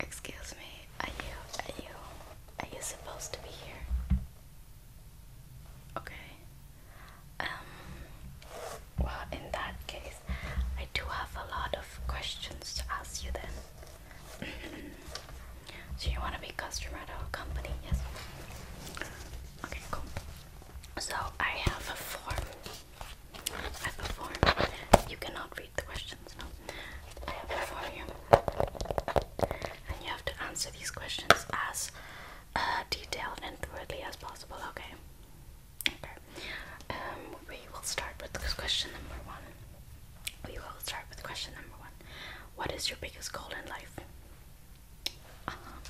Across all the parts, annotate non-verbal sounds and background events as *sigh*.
Excuse me, are you, are you, are you supposed to be here? Okay. Um, well, in that case, I do have a lot of questions to ask you then. *clears throat* so you want to be customer at our company, yes? Okay, cool. So I have a form I have You cannot read the questions, no. I have a form And you have to answer these questions as uh, detailed and thoroughly as possible, okay? Okay. Um, we will start with question number one. We will start with question number one. What is your biggest goal in life? Uh-huh.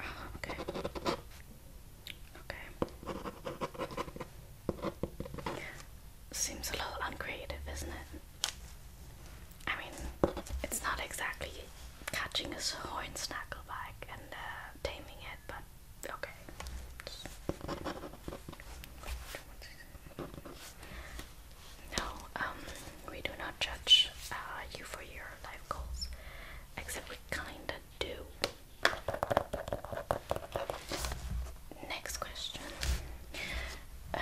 Uh-huh, okay. Okay. Seems a little uncreative, isn't it? I mean, it's not exactly catching a hornsnackleback and uh, taming it, but okay. No, um, we do not judge uh, you for your life goals, except we kinda do. Next question. Uh,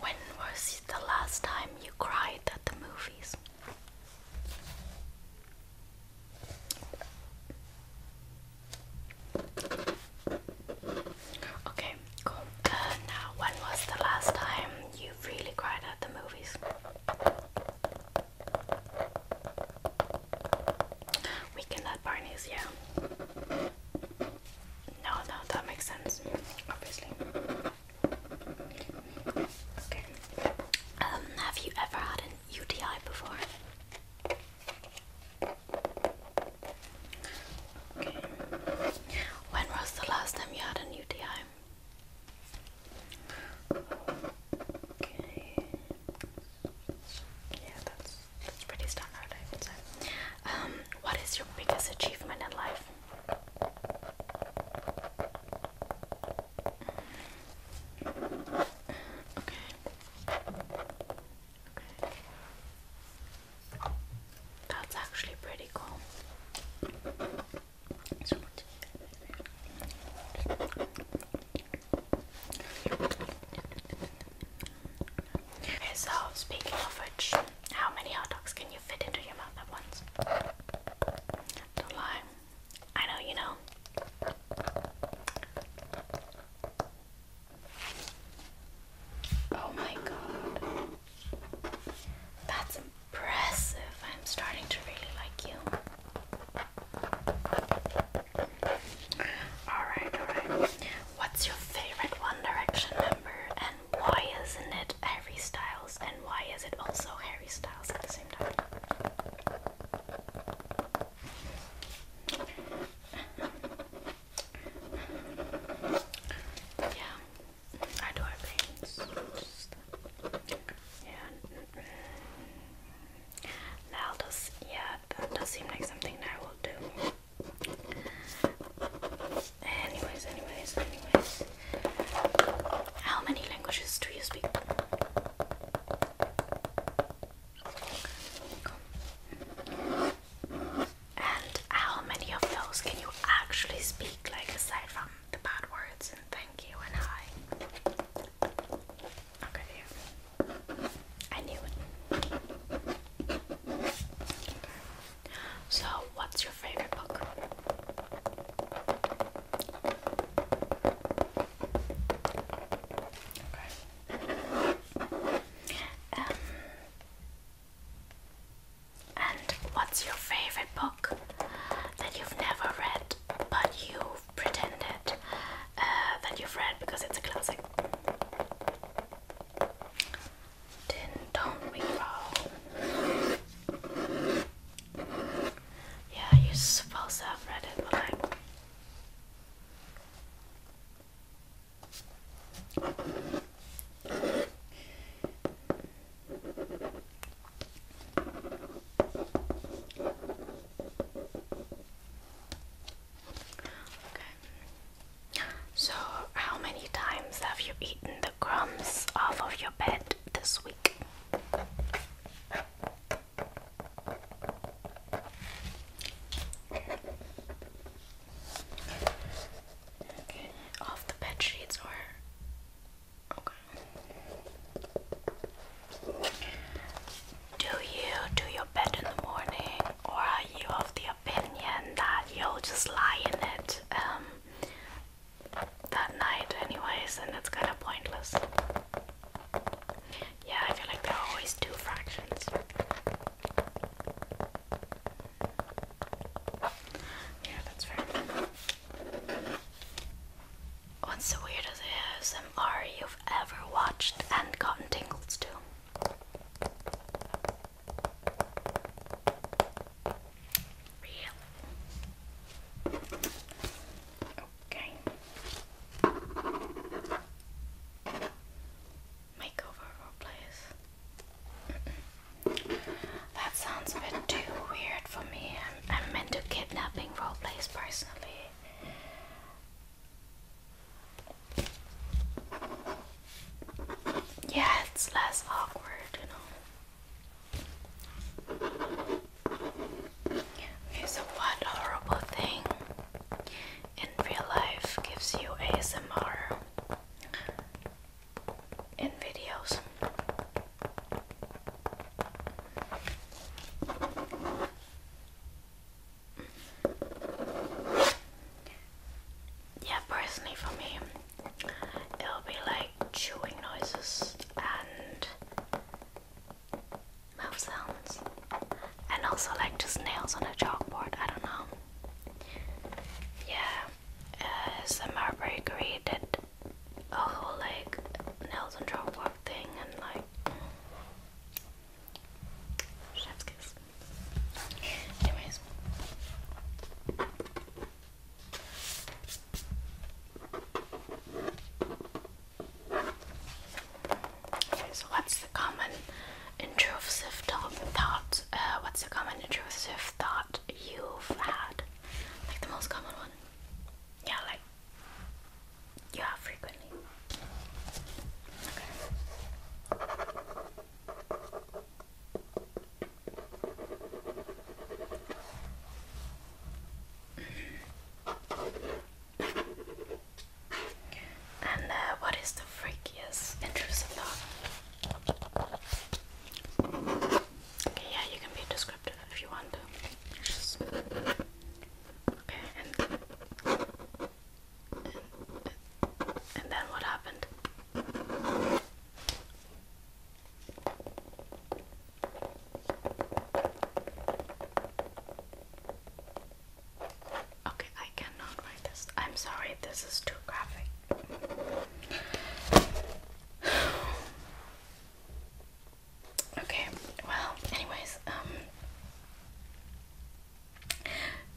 when was the last time you cried at the movies? Okay, uh, now, when was the last time you really cried at the movies? We can add Barney's, yeah. No, no, that makes sense, obviously. Okay. Um, have you ever had an UTI before? Okay. When was the last time you had a new DI? Okay. Yeah, that's that's pretty standard, I would say. Um, what is your biggest achievement in life? Okay. Okay. That's actually pretty cool so speaking of which, how many hot dogs can you fit into your mouth at once? Don't lie. I know you know. Oh my god. That's impressive. I'm starting to really like you. Alright, alright. What's your favorite One Direction member and why isn't it Harry Styles and why is it also Harry Styles at the same time? Yeah, I do have yeah. Now does yeah, that does seem like something I will do. Anyways, anyways, anyways. How many languages do you speak? And how many of those can you actually speak, like aside from the bad words and thank you and hi? Okay, here. I knew it. So, what's your favorite book? Okay. Um, and what's your favorite book that you've never read but you Pretend it uh, that you've read because it's a classic. Yeah, you're supposed have read it, but Okay. So, how many times have you eaten the crumbs off of your bed this week? Okay, off the bed sheets or okay. Do you do your bed in the morning, or are you of the opinion that you'll just lie in it um, that night, anyways, and it's kind of pointless? Yeah, I feel like there are always two fractions. Yeah, that's fair. What's the weirdest ASMR you've ever watched and gotten tingles to? Real. Okay. Makeover roleplays. that sounds a bit too weird for me. I'm, I'm into kidnapping roleplays personally. Yeah, it's less awkward, you know. Okay, so what horrible thing in real life gives you ASMR in videos? Yeah, personally for me, it'll be like chewing noises and mouth sounds, and also like just nails on a chalkboard. I don't know. Yeah, uh, Summer Bakery did a whole like nails and jaw work thing and like chef's kiss. Anyways. so what's the common intrusive thought? Uh, what's the common intrusive thought you've had? Like the most common one? Yeah, like yeah, frequently. and uh, what is the freakiest intrusive thought? yeah, you can be described if you want. Just... Okay, And, and then what happened? Okay, I cannot write this. I'm sorry, this is too graphic. Okay, well, anyways, um,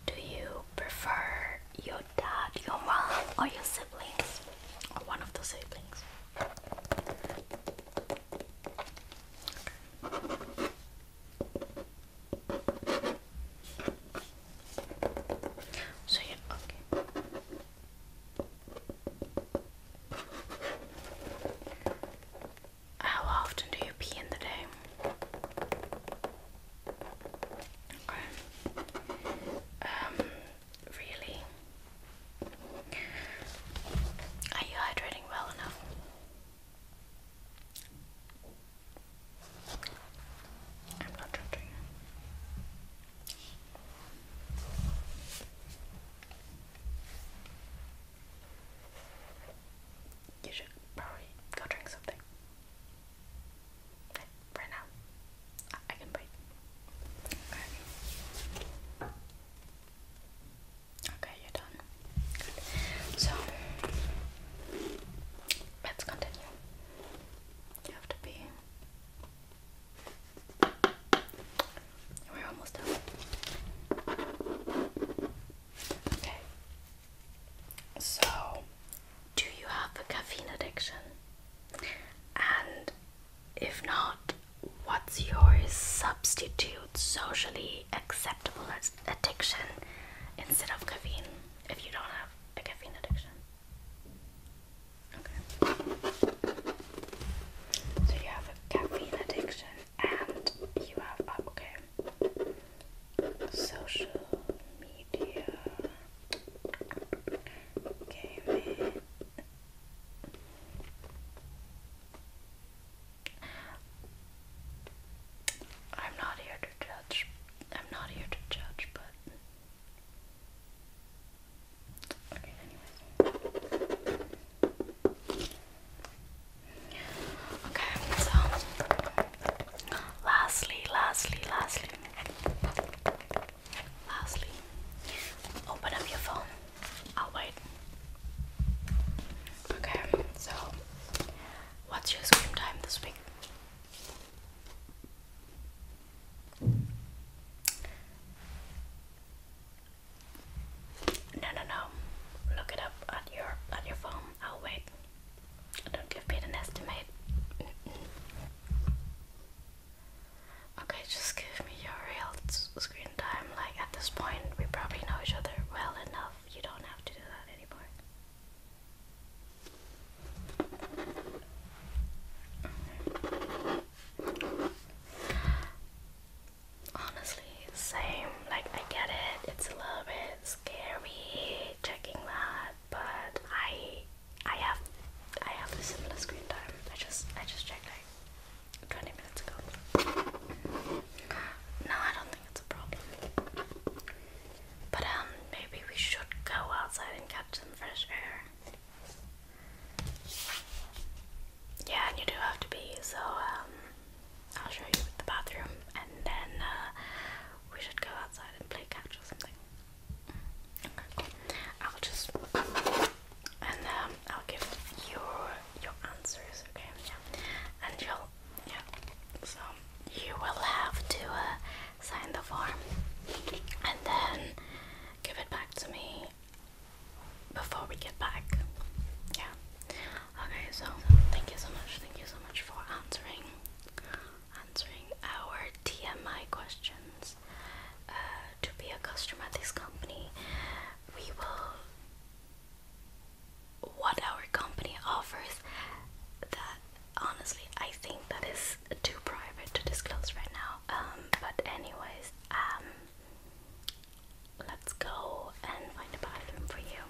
do you prefer your dad, your mom, or your siblings? Or one of the siblings? So, yeah, okay. How often do you pee in the day? Um, really? Are you hydrating well enough? I'm not judging. You should probably go drink something. Right now, I can wait. Okay. you're done. So, let's continue. You have to be we're almost done. Okay. So, do you have a caffeine addiction? And if not, what's your substitute socially acceptable addiction instead of caffeine if you don't have a caffeine addiction? So you have a caffeine addiction and you have um, okay social media gaming. I'm not here to judge. I'm not here to judge, but Okay, so lastly, lastly, lastly, lastly, open up your phone. I'll wait. Okay, so what's your screen time this week? No, no, no. Look it up at your at your phone. I'll wait. Don't give me an estimate. okay, just give me your real screen time. Like at this point, we probably know each other well enough. You don't have to do that anymore. Honestly, same. Like, I get it. It's a little bit scary checking that, but I, I have, I have a similar screen time. I just, I just checked like 20 minutes ago. No, I don't think it's a problem. But um, maybe we should go outside and catch some fresh air. Yeah, and you do have to be, so um, I'll show you the bathroom and then uh, we should go outside and play catch or something. I'll just and um, I'll give your your answers, okay? Yeah, and you'll yeah. So you will have to uh, sign the form and then give it back to me before we get back. Yeah. Okay, so thank you so much. Thank you so much for answering answering our TMI questions. Uh, to be a customer at this company, we will what our company offers that honestly I think that is too private to disclose right now. Um, but anyways, um, let's go and find a bathroom for you.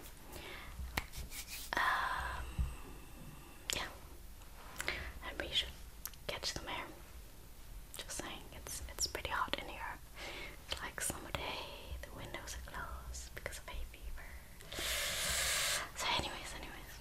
Um, yeah, and we should catch the air. Just saying, it's it's pretty hot in here. It's like summer day. The windows are closed because of hay fever. So, anyways, anyways.